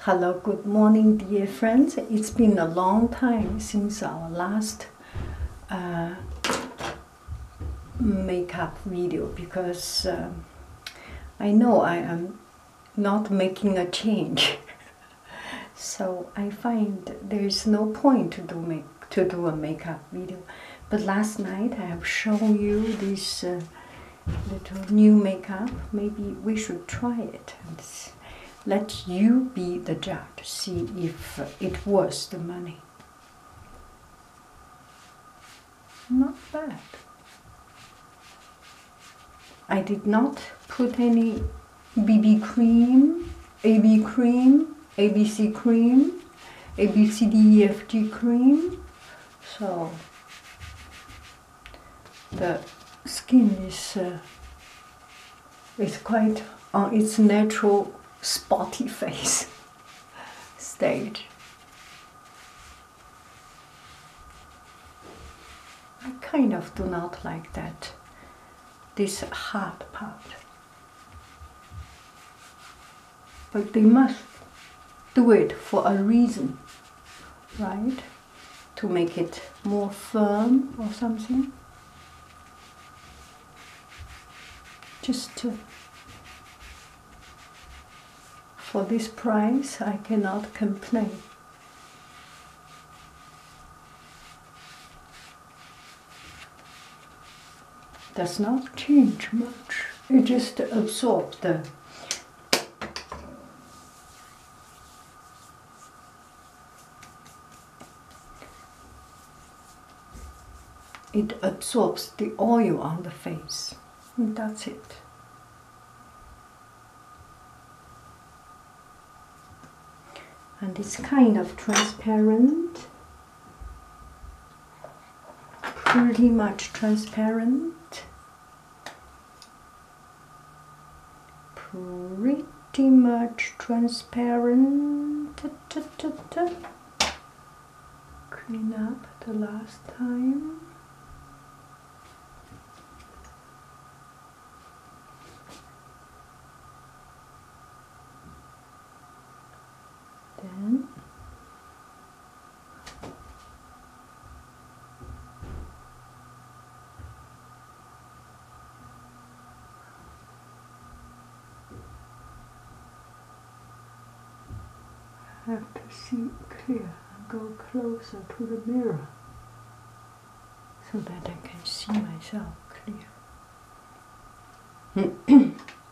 Hello, good morning, dear friends. It's been a long time since our last uh, makeup video because uh, I know I am not making a change. so I find there is no point to do make to do a makeup video. But last night I have shown you this uh, little new makeup, maybe we should try it let you be the judge, see if it was the money. Not bad. I did not put any BB cream, AB cream, ABC cream, ABCDEFG cream, so the skin is uh, it's quite on its natural spotty face stage. I kind of do not like that, this hard part but they must do it for a reason, right? To make it more firm or something. Just to, for this price, I cannot complain does not change much. It just absorbs the it absorbs the oil on the face. that's it. And it's kind of transparent pretty much transparent pretty much transparent clean up the last time then I have to see clear and go closer to the mirror so that I can see myself clear.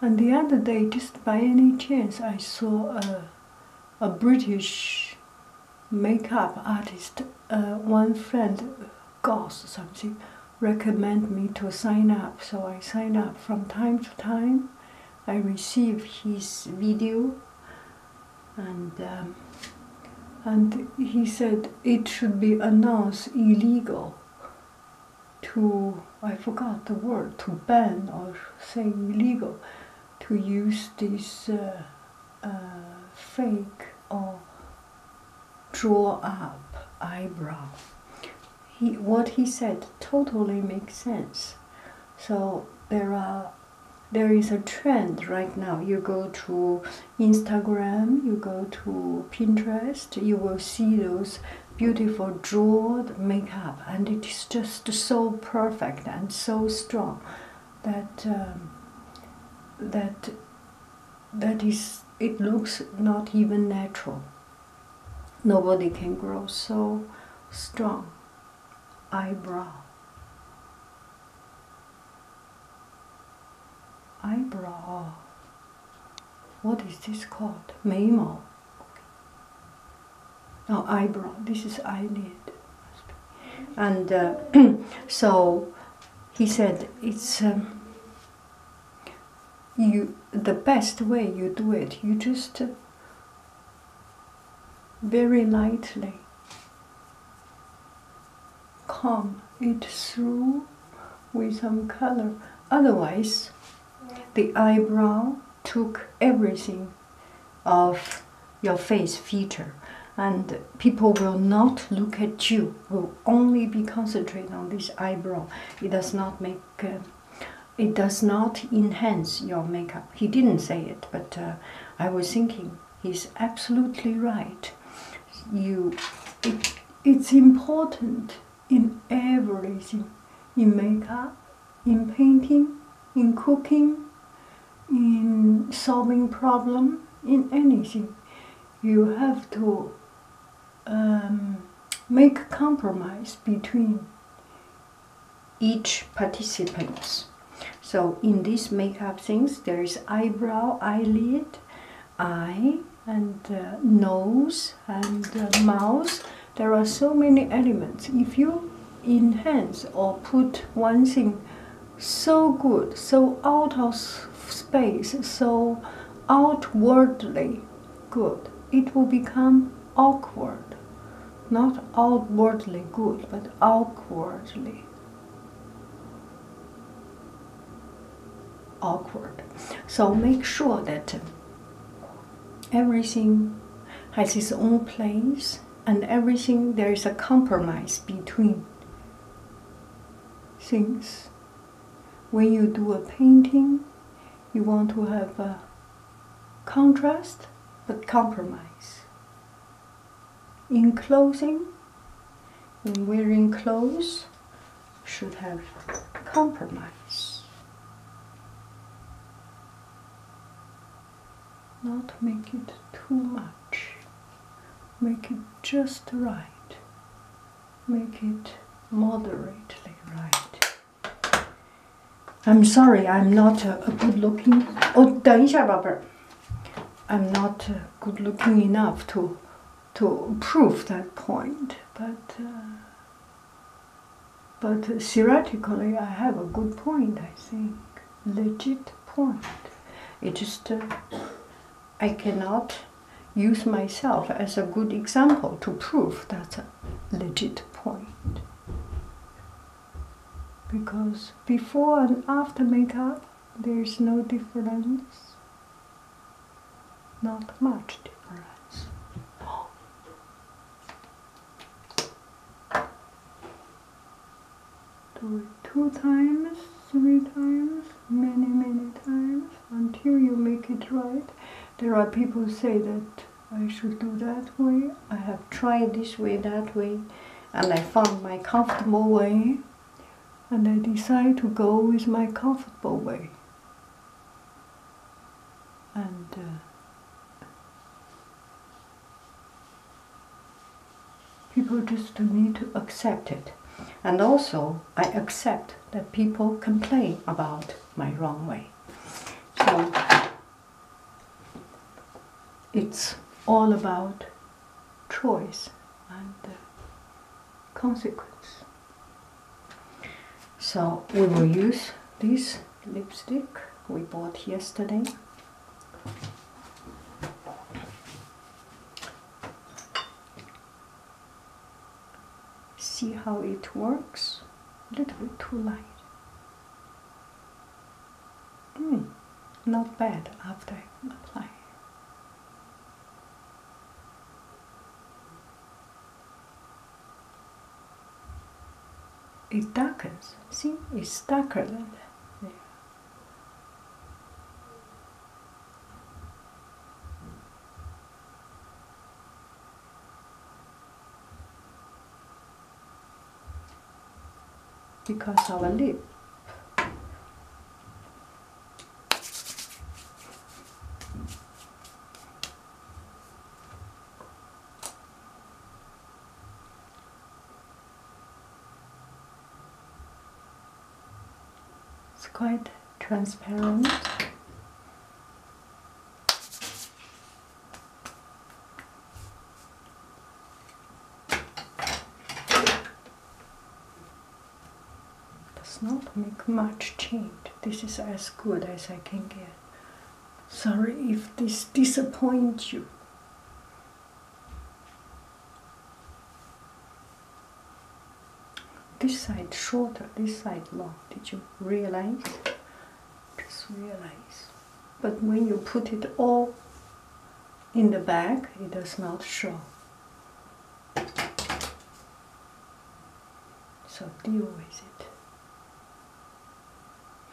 And the other day, just by any chance, I saw a, a British makeup artist, uh, one friend, Goss something, recommend me to sign up. So I sign up from time to time. I receive his video and um, and he said it should be announced illegal to I forgot the word to ban or say illegal to use this uh, uh, fake or draw up eyebrow. He, what he said totally makes sense. So there are there is a trend right now. You go to Instagram, you go to Pinterest, you will see those beautiful jeweled makeup, and it is just so perfect and so strong that um, that that is it looks not even natural. Nobody can grow so strong eyebrow eyebrow what is this called Memo. Okay. no eyebrow this is eyelid and uh, so he said it's um, you the best way you do it you just very lightly. Comb it through with some color. Otherwise, the eyebrow took everything of your face feature and people will not look at you will only be concentrated on this eyebrow it does not make uh, it does not enhance your makeup he didn't say it, but uh, I was thinking he's absolutely right. You, it's important in everything, in makeup, in painting, in cooking, in solving problem, in anything. You have to um, make compromise between each participants. So in these makeup things, there is eyebrow, eyelid, eye, and uh, nose, and uh, mouth. There are so many elements. If you enhance or put one thing so good, so out of space, so outwardly good, it will become awkward. Not outwardly good, but awkwardly. Awkward. So make sure that everything has its own place and everything there is a compromise between things. When you do a painting, you want to have a contrast but compromise. In clothing, in wearing clothes, should have compromise. Not make it too much. Make it just right. Make it moderately right. I'm sorry, I'm not a, good looking. Oh, i am not uh, good looking enough to to prove that point, but uh, but uh, theoretically I have a good point. I think legit point. It just uh, I cannot use myself as a good example to prove that legit point because before and after makeup there is no difference not much difference oh. two times three times many many times until you make it right there are people who say that I should do that way. I have tried this way, that way, and I found my comfortable way, and I decide to go with my comfortable way. And uh, people just need to accept it. And also, I accept that people complain about my wrong way. So it's all about choice and consequence. So we will use this lipstick we bought yesterday. See how it works. A little bit too light. Mm, not bad after applying. It darkens. See, it's darker than that because our lip it's quite transparent does not make much change. This is as good as I can get. Sorry if this disappoints you. This side shorter, this side long. Did you realize? just realize. But when you put it all in the bag, it does not show. So deal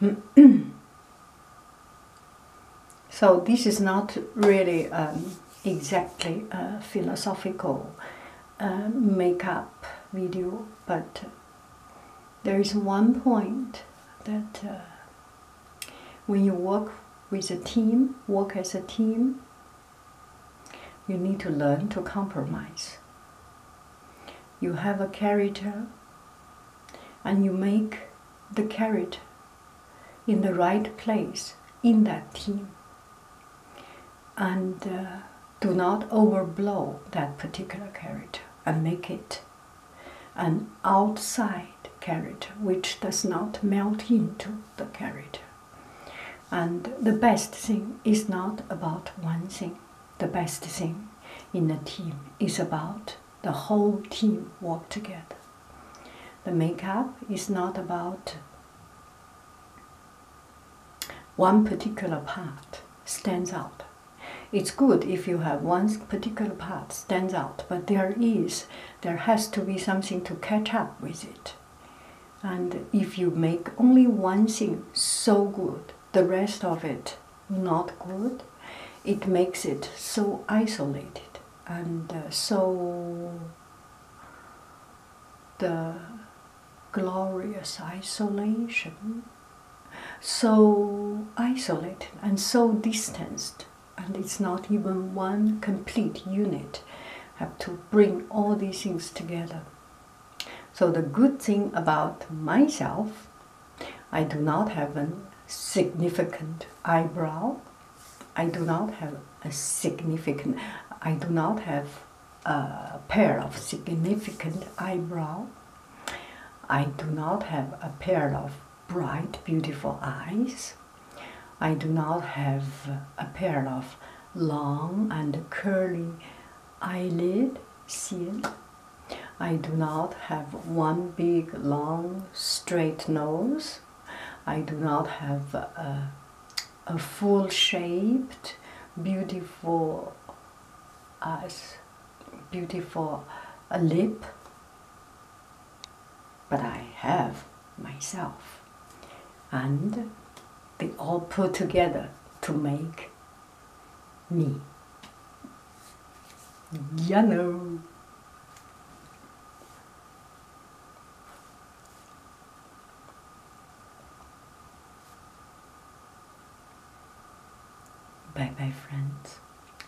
with it. so this is not really um, exactly uh, philosophical makeup video, but there is one point that uh, when you work with a team, work as a team, you need to learn to compromise. You have a character and you make the character in the right place in that team and uh, do not overblow that particular character and make it an outside character which does not melt into the character. And the best thing is not about one thing. The best thing in a team is about the whole team work together. The makeup is not about one particular part stands out. It's good if you have one particular part stands out, but there is, there has to be something to catch up with it. And if you make only one thing so good, the rest of it not good, it makes it so isolated and uh, so the glorious isolation, so isolated and so distanced, and it's not even one complete unit. Have to bring all these things together. So, the good thing about myself, I do not have a significant eyebrow, I do not have a significant, I do not have a pair of significant eyebrow. I do not have a pair of bright, beautiful eyes. I do not have a pair of long and curly eyelid. See I do not have one big, long, straight nose. I do not have a a full shaped, beautiful eyes, beautiful lip, but I have myself. And they all put together to make me. you know. Bye bye, friends.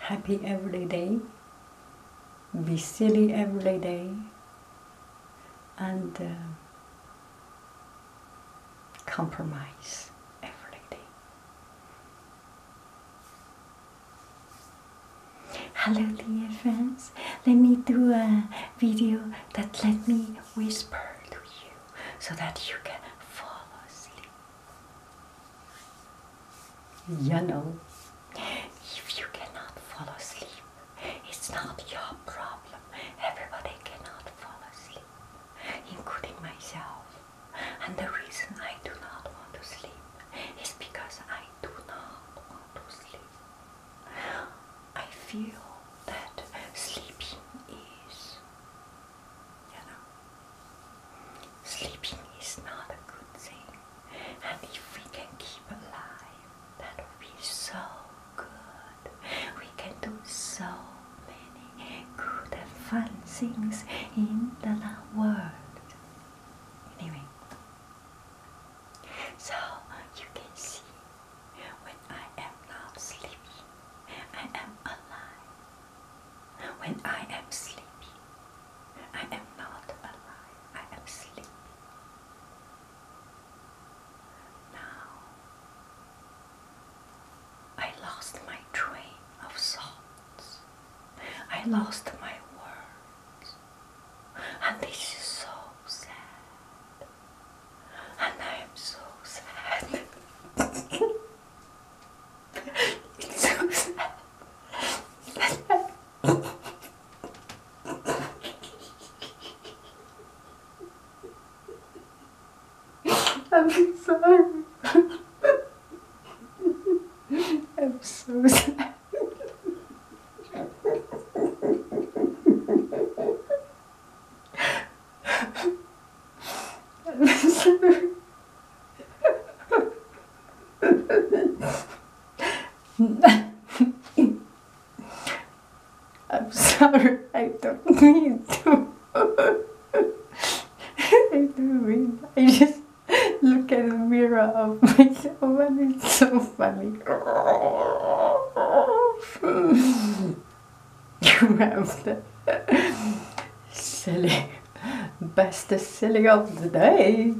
Happy every day. Be silly every day. And uh, compromise every day. Hello, dear friends let me do a video that let me whisper to you so that you can fall asleep. You know, if you cannot fall asleep, it's not your problem. Everybody cannot fall asleep, including myself. And the reason I do not want to sleep is because I do not want to sleep. I feel that sleeping is, you know, sleeping is not a good thing. And if we can keep alive, that would be so good. We can do so many good and fun things in the world. Anyway, so you can see when I am not sleepy, I am alive. When I am sleepy, I am not alive, I am sleepy. Now, I lost my train of thoughts. I lost my words and this is so sad, and I am so sad. it's so sad. I'm sorry. I'm so sad. I'm sorry, I don't mean to. I don't mean. I just look at the mirror of myself and it's so stomach. you have the silly, best silly of the day.